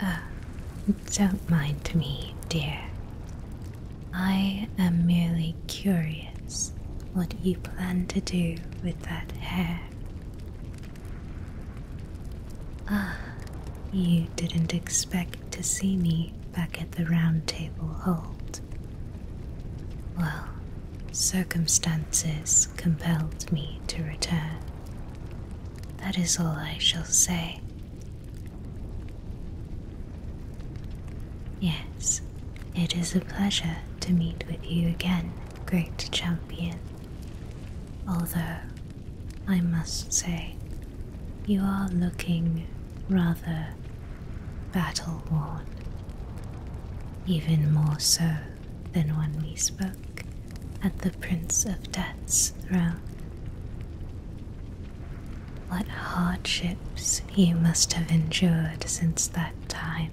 Uh, don't mind me, dear. I am merely curious what you plan to do with that hair. Ah, you didn't expect to see me back at the Round Table Hold. Well, circumstances compelled me to return. That is all I shall say. Yes, it is a pleasure to meet with you again, great champion. Although, I must say, you are looking rather battle worn, even more so than when we spoke at the Prince of Death's throne. What hardships you must have endured since that time,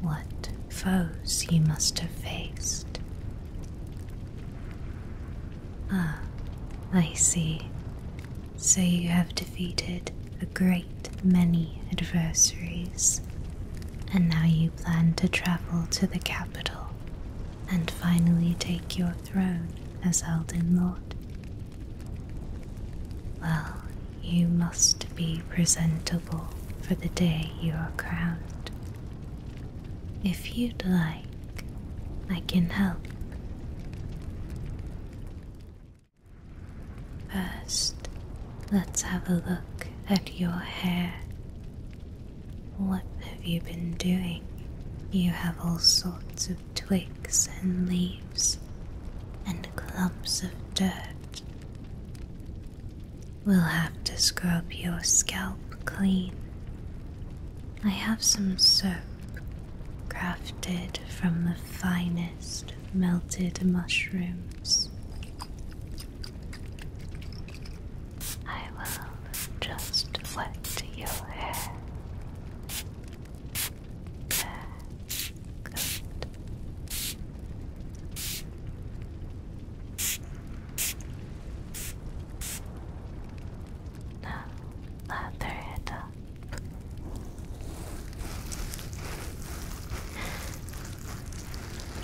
what foes you must have faced. Ah, I see. So you have defeated a great many adversaries, and now you plan to travel to the capital and finally take your throne as Elden Lord? Well, you must be presentable for the day you are crowned. If you'd like, I can help. First, Let's have a look at your hair. What have you been doing? You have all sorts of twigs and leaves and clumps of dirt. We'll have to scrub your scalp clean. I have some soap crafted from the finest melted mushrooms. I will just wet your hair. There. Good. Now lather it up.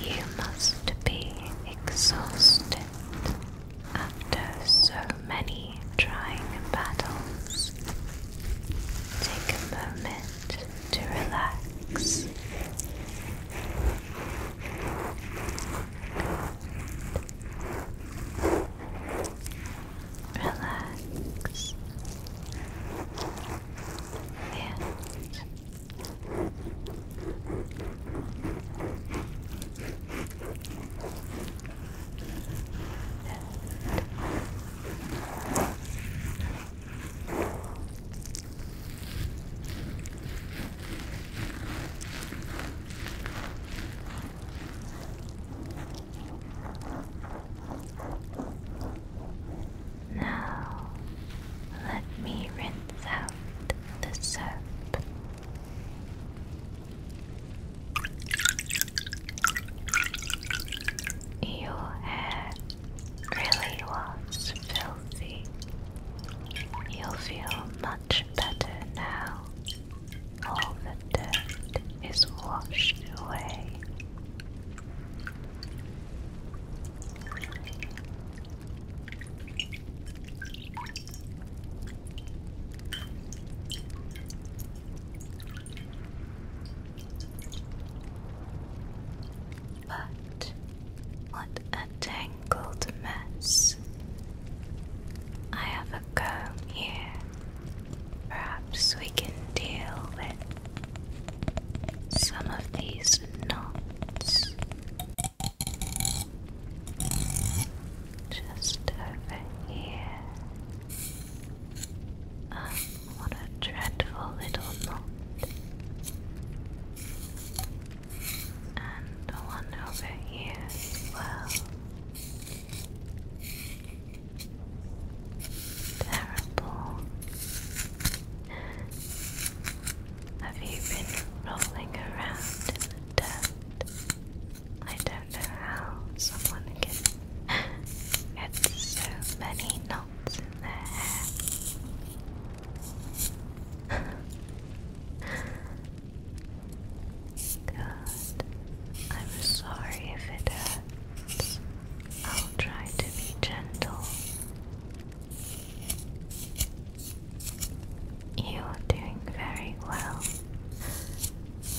You must be exhausted after so many trying battles. Take a moment to relax. Relax hands. And now, let me rinse out the soap. Your hair really was filthy. You'll feel much better now. All the dirt is washed away. But what a tangled mess. I have a comb here. Perhaps we can deal with some of these knots just over here. Ah, what a dreadful little knot. And the one over here well. Terrible. Have you been rolling around in the dirt? I don't know how someone can get so many knots in their hair. God, I'm sorry if it hurts. I'll try to be gentle. You're doing very well.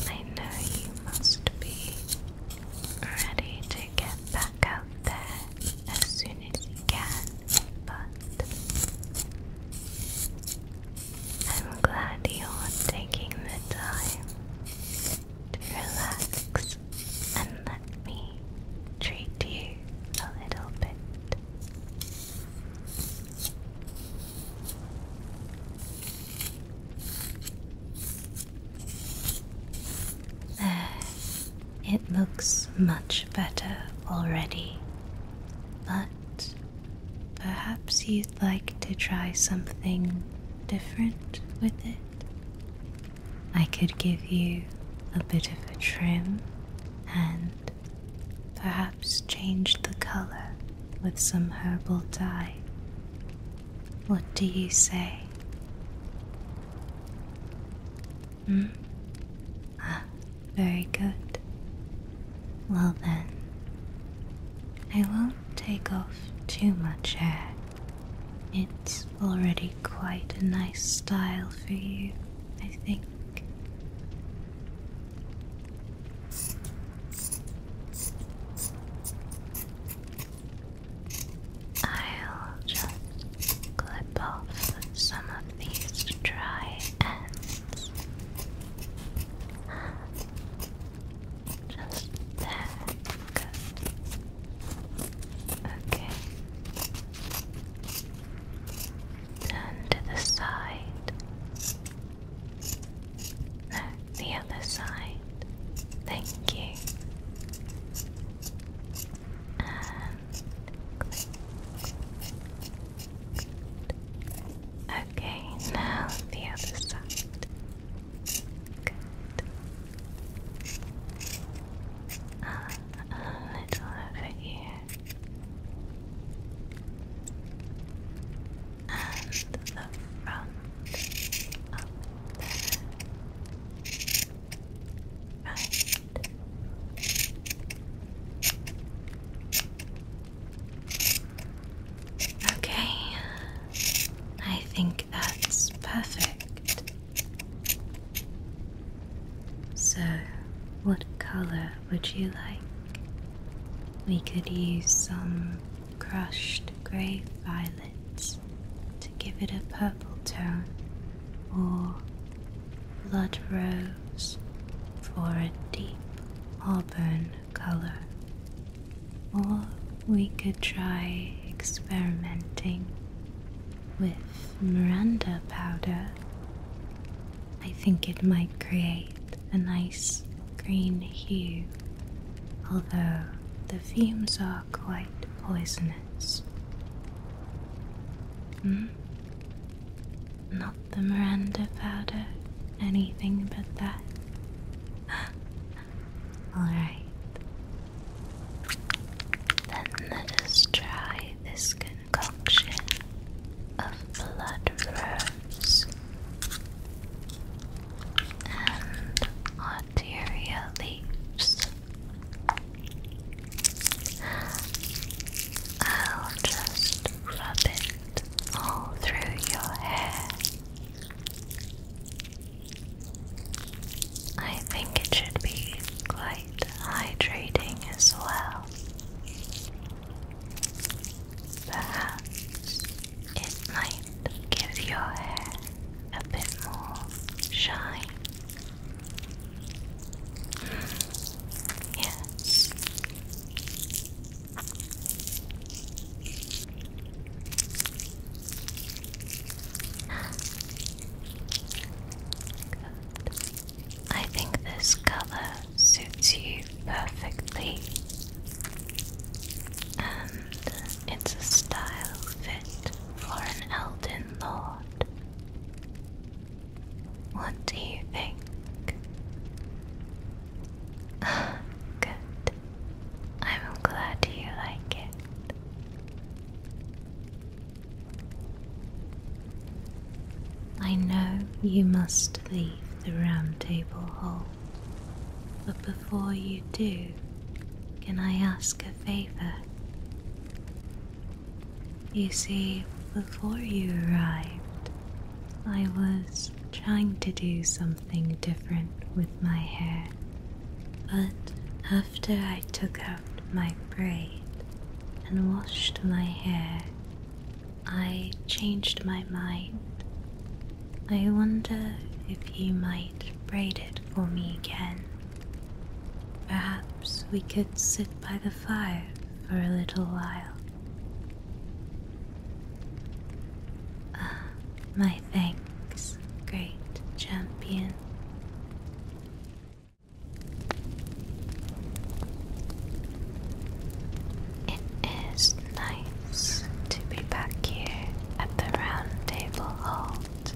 I know you must be ready to get back out there as soon as you can, but I'm glad you're taking the time relax, and let me treat you a little bit. it looks much better already, but perhaps you like to try something different with it. I could give you a bit of a trim and perhaps change the color with some herbal dye. What do you say? Hmm? Ah, very good. Well then, I won't take off too much hair. It's already quite a nice style for you, I think. I'll just clip off some of these dry ends. Just there. Good. Okay. And to the side. No, the other side. Thank you. Okay, now the other side. Good. Uh, a little over here. And the front up there. Right. Okay, I think that's perfect. So, what color would you like? We could use some crushed grey violets to give it a purple tone, or blood rose for a deep auburn color. Or we could try experimenting with Miranda powder. I think it might create a nice green hue, although the fumes are quite poisonous. Hmm? Not the Miranda powder, anything but that. Alright. Then let us try this concoction of blood rose and arteria leaves. I'll just rub it all through your hair. I think it should be quite hydrating as well. Perhaps it might give your hair a bit more shine. Hmm. Yes, I think this color suits you perfectly, and it's a style fit for an Elden Lord. What do you think? Good. I'm glad you like it. I know you must leave the round table hall, but before you do, can I ask a favor? You see, before you arrived, I was trying to do something different with my hair, but after I took out my braid and washed my hair, I changed my mind. I wonder if you might braid it for me again. Perhaps we could sit by the fire for a little while Ah, my thanks, great champion. It is nice to be back here at the Round Table Halt.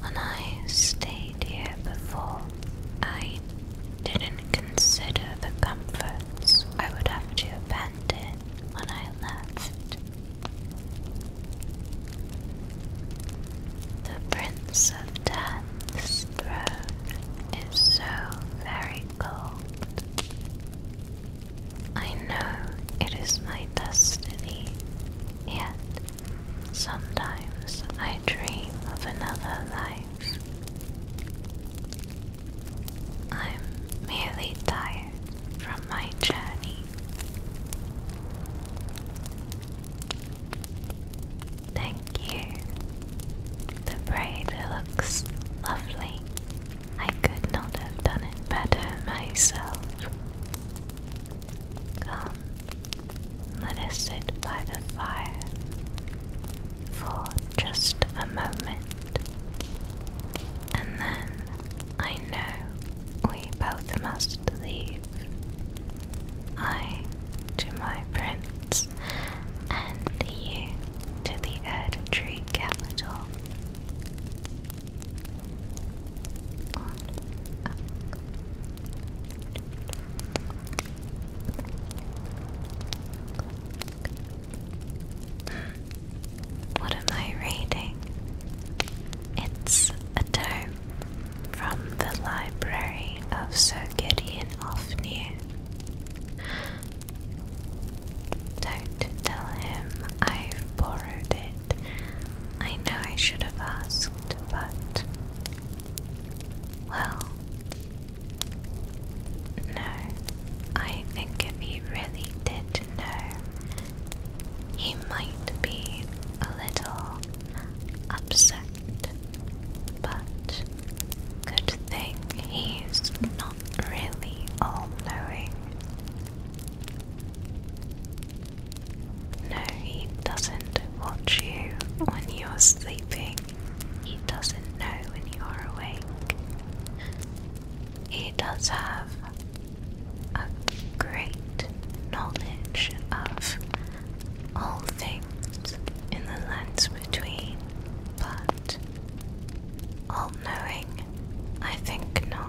When I stayed here before, I didn't consider the comforts I would have to abandon when I left. The Prince of Death's throne is so very cold. I know it is my destiny, yet sometimes I dream of another life. I'm merely tired from my journey. Thank you. The braid looks lovely. I could not have done it better myself. Come, let us sit by the fire for just a moment, and then I know we both must leave. I to my prince, and you to the Erd Tree capital. What am I reading? It's a tome from the library of Sir Gideon Ofnir. Don't tell him I've borrowed it. I know I should have asked, but well, no, I think if he really did know, he might be a little upset. But good thing he's not really all knowing. No, he doesn't watch you when you're sleeping. He doesn't know when you are awake. He does have a great knowledge of all things in the lands between, but all knowing, I think not.